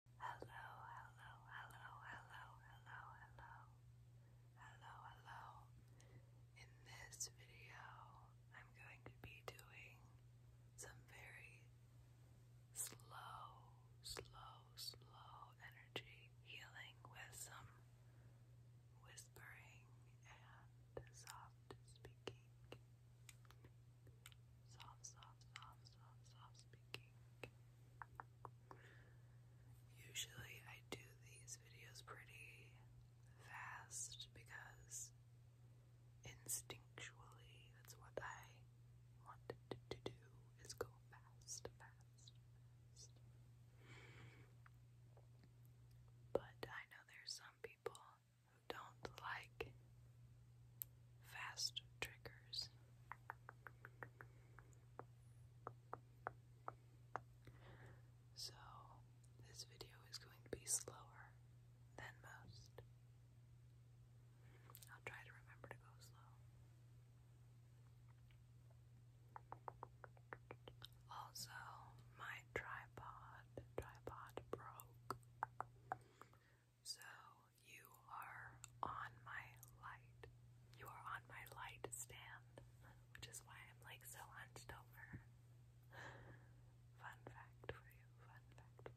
Hello, hello, hello, hello, hello, hello, hello, hello. In this video, I'm going to be doing some very slow, slow, slow energy healing with some whispering and soft speaking. Soft, soft, soft, soft, soft speaking. Usually I do these videos pretty fast because instinctually that's what I wanted to do is go fast, fast, fast. But I know there's some people who don't like fast triggers. So, this video is going to be slower than most. I'll try to remember to go slow. Also, my tripod, tripod broke. So you are on my light. You are on my light stand, which is why I'm like so hunched Fun fact for you. Fun fact.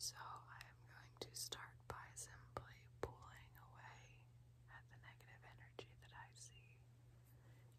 So I'm going to start by simply pulling away at the negative energy that I see.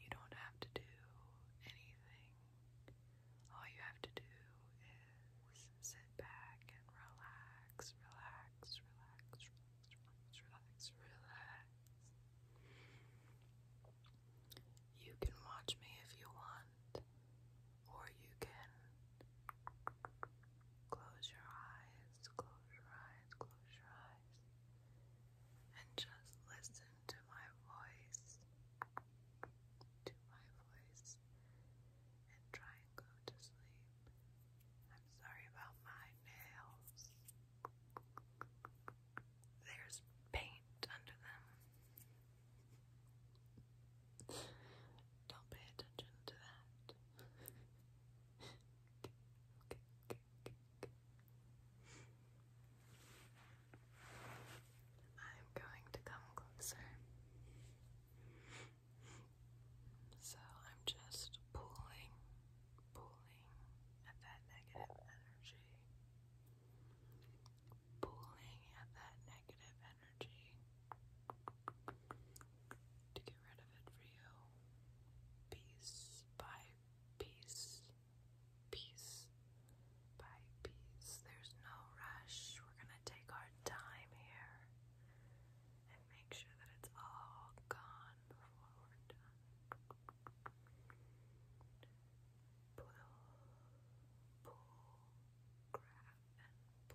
You don't have to do anything. All you have to do is sit back and relax, relax, relax, relax, relax, relax. You can watch me if you want, or you can close your eyes, close your eyes, close your eyes and just listen to my voice, to my voice, and try and go to sleep. I'm sorry about my nails. There's paint under them. Don't pay attention to that okay, okay, I'm going to come closer. So I'm just pulling, pulling at that negative energy. Pulling at that negative energy to get rid of it for you. Piece by piece, piece by piece. There's no rush. We're gonna take our time here and make sure that it's all gone before we're done. Pull, pull, grab, and pull.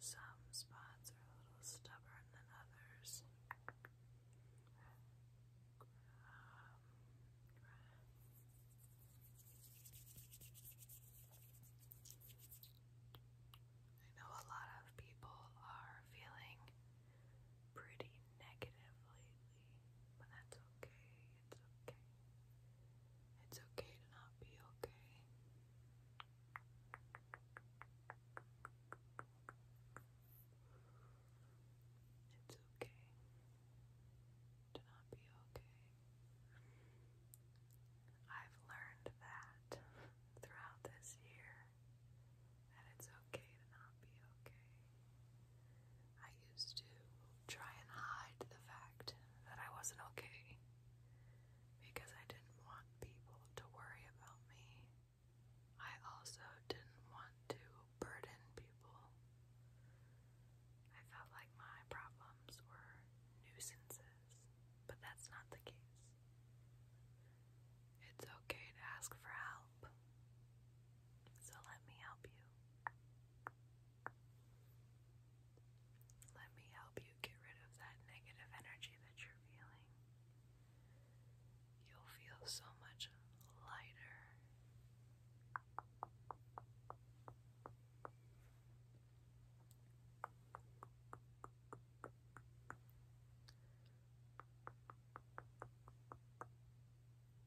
Some spots are a little stubborn than others. I know a lot of people are feeling pretty negative lately, but that's okay. It's okay. It's okay to not be okay. It's okay to not be okay. I've learned that throughout this year that it's okay to not be okay. I used to try and hide the fact that I wasn't okay because I didn't want people to worry about me. I also didn't want to burden people. I felt like my problems were nuisances, but that's not the case. It's okay to ask for help. So let me help you. Let me help you get rid of that negative energy that you're feeling. You'll feel so much lighter.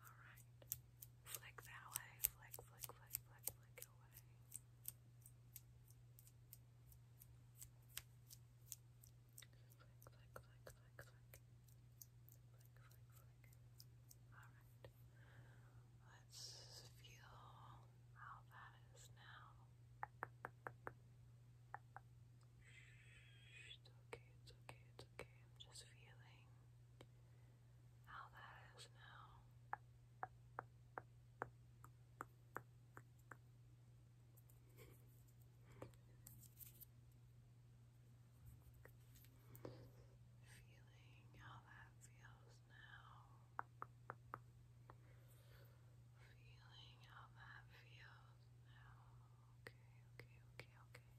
Alright. Flick that away. Flick, flick, flick, flick, flick away. Flick, flick, flick, flick, flick. Flick, flick, flick. Alright. Let's feel how that is now. Shh, it's okay, it's okay. It's okay, I'm just feeling how that is now. feeling how that feels now. Feeling how that feels now. Okay, okay, okay, okay.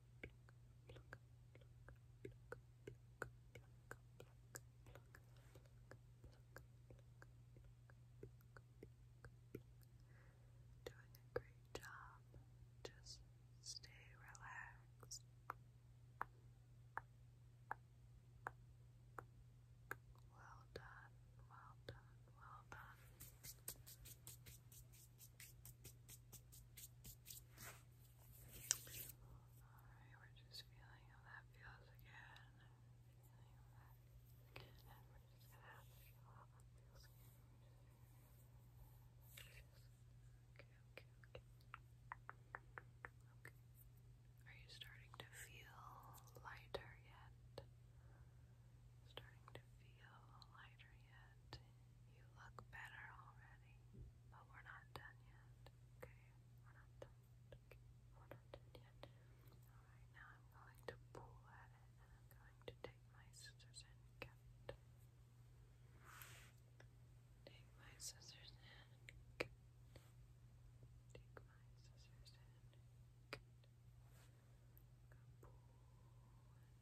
Doing a great job. Just stay relaxed. Well done, well done, well done. Alright, we're just feeling how that feels again. And we're just gonna feel how that feels again. Are you starting to feel lighter yet? Starting to feel lighter yet? that you look better already, but we're not done yet. Okay, we're not done. Okay, we're not done yet. Alright, now I'm going to pull at it and I'm going to take my scissors and cut Take my scissors and cut. Take my scissors and cut. Pull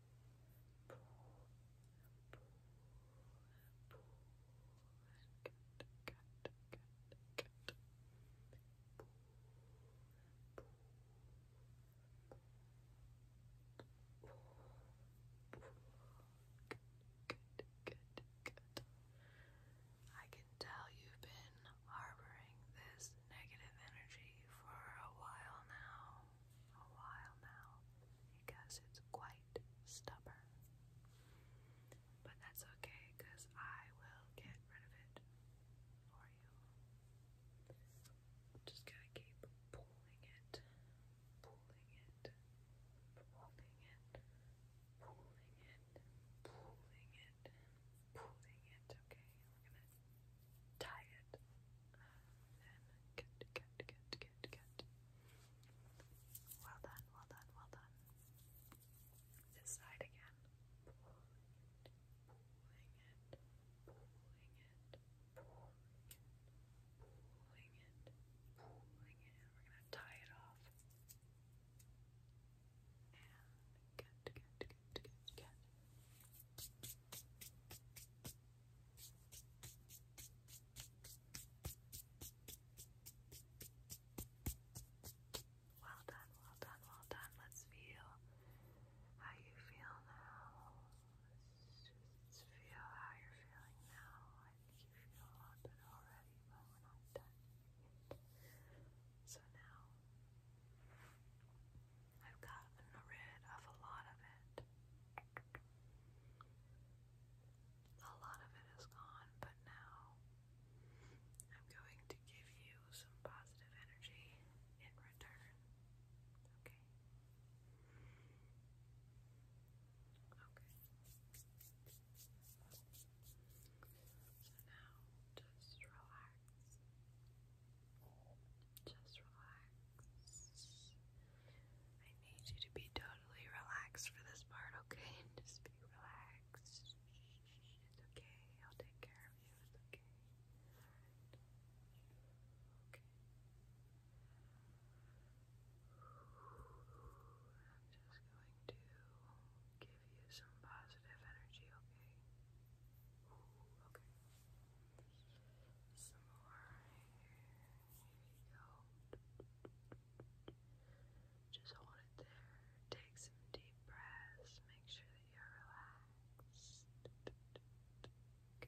I can tell you've been harboring this negative energy for a while now a while now because it's quite stubborn. But that's okay because I will get rid of it for you. just gonna keep pulling it, pulling it, pulling it, pulling it, pulling it, pulling it, okay? we're gonna tie it and cut, cut, cut, cut, cut. Well done, well done, well done. This side again. Pulling it, pulling it, pulling it, pulling it, pulling it, we're gonna tie it off. And cut, cut, cut, cut, cut. Well done, well done, well done. Let's feel how you feel now. Let's feel how you're feeling now. I think you feel a lot better already, but we're not done. So now I've gotten rid of a lot of it. A lot of it is gone, but now I'm going to give you some positive energy in return. Okay? Okay. So now just relax. Just relax. I need you to be totally relaxed for this part, okay? just be relaxed. It's okay. I'll take care of you. It's okay. Okay. I'm just going to give you some positive energy, okay? Okay. Some more here. Here go. Just hold it there. Take some deep breaths. Make sure that you're relaxed. Okay,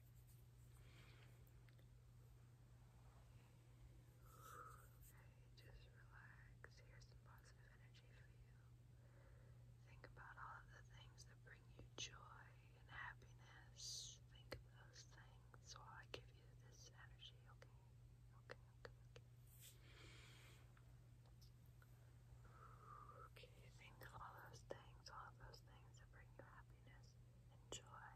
just relax. Here's some positive energy for you. Think about all of the things that bring you joy and happiness. Think of those things while I give you this energy, okay? Okay, okay, okay. Okay, think of all those things, all of those things that bring you happiness and joy.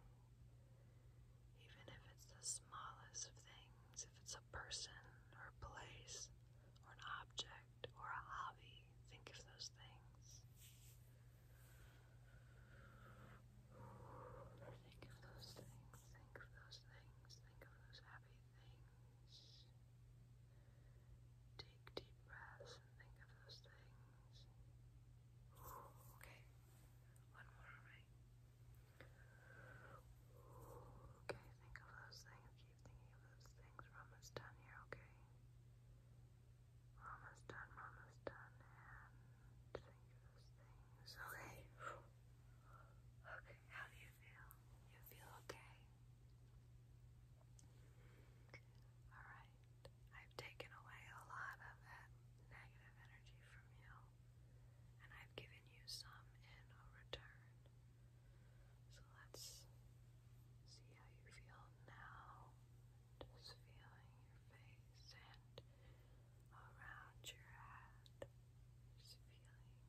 Even if it's the smallest of things, if it's a person or a place or an object or a hobby. Think of those things. Think of those things. Think of those things. Think of those happy things. Take deep breaths and think of those things. Okay. One more, Okay, think of those things thinking of those things. almost done here, okay? almost done, almost done, and of those things, okay? Okay, how do you feel? You feel okay? Alright, I've taken away a lot of negative energy from you, and I've given you some in return. So let's see how you feel now. Just feeling your face and around your head. Just feeling,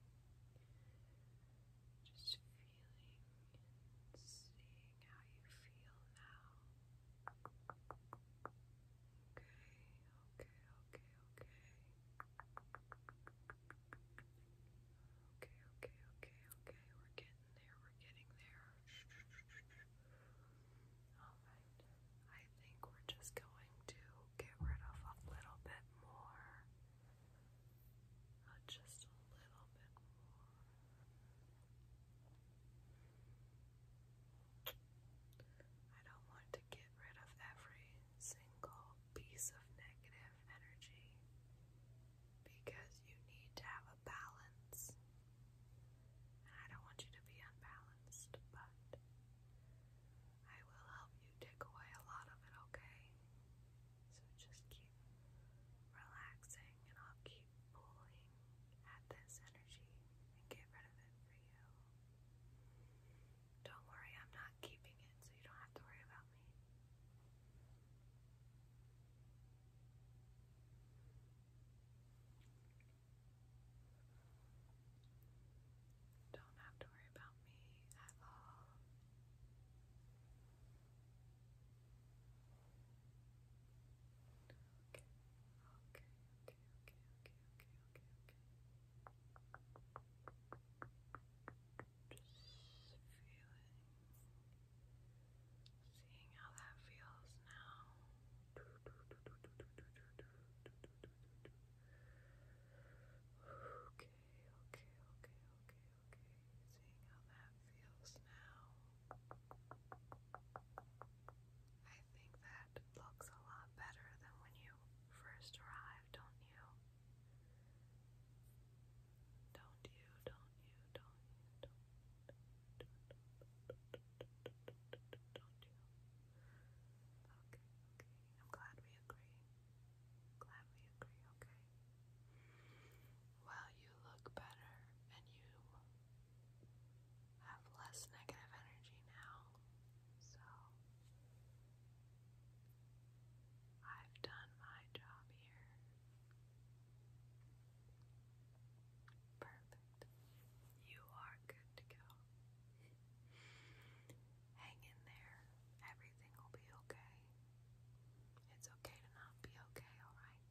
just feeling seeing how you feel now. Okay, okay, okay, okay. Okay, okay, okay, okay. We're getting there. We're getting there. All right. I think we're just going to get rid of a little bit more. just a little bit more. I don't want to get rid of every single piece of negative energy because you need to have a balance. And I don't want you to be unbalanced, but I will help you take away a lot of it, okay? So just keep relaxing and I'll keep pulling at this energy and get rid of it for you. Don't worry, I'm not keeping it, so you don't have to worry about me. Don't have to worry about me at all. Okay, okay, okay, okay, okay okay, okay, okay. Just feeling, seeing how that feels now. Okay, okay, okay, okay, okay. Seeing how that feels now. I think that looks a lot better than when you first arrived, don't you. you, don't you, don't you, don't you, don't you. Okay, okay. I'm glad we agree. Glad we agree, okay. Well, you look better and you have less negative energy now. So I've done my job here. Perfect. You are good to go. Hang in there. Everything will be okay. It's okay to not be okay, alright?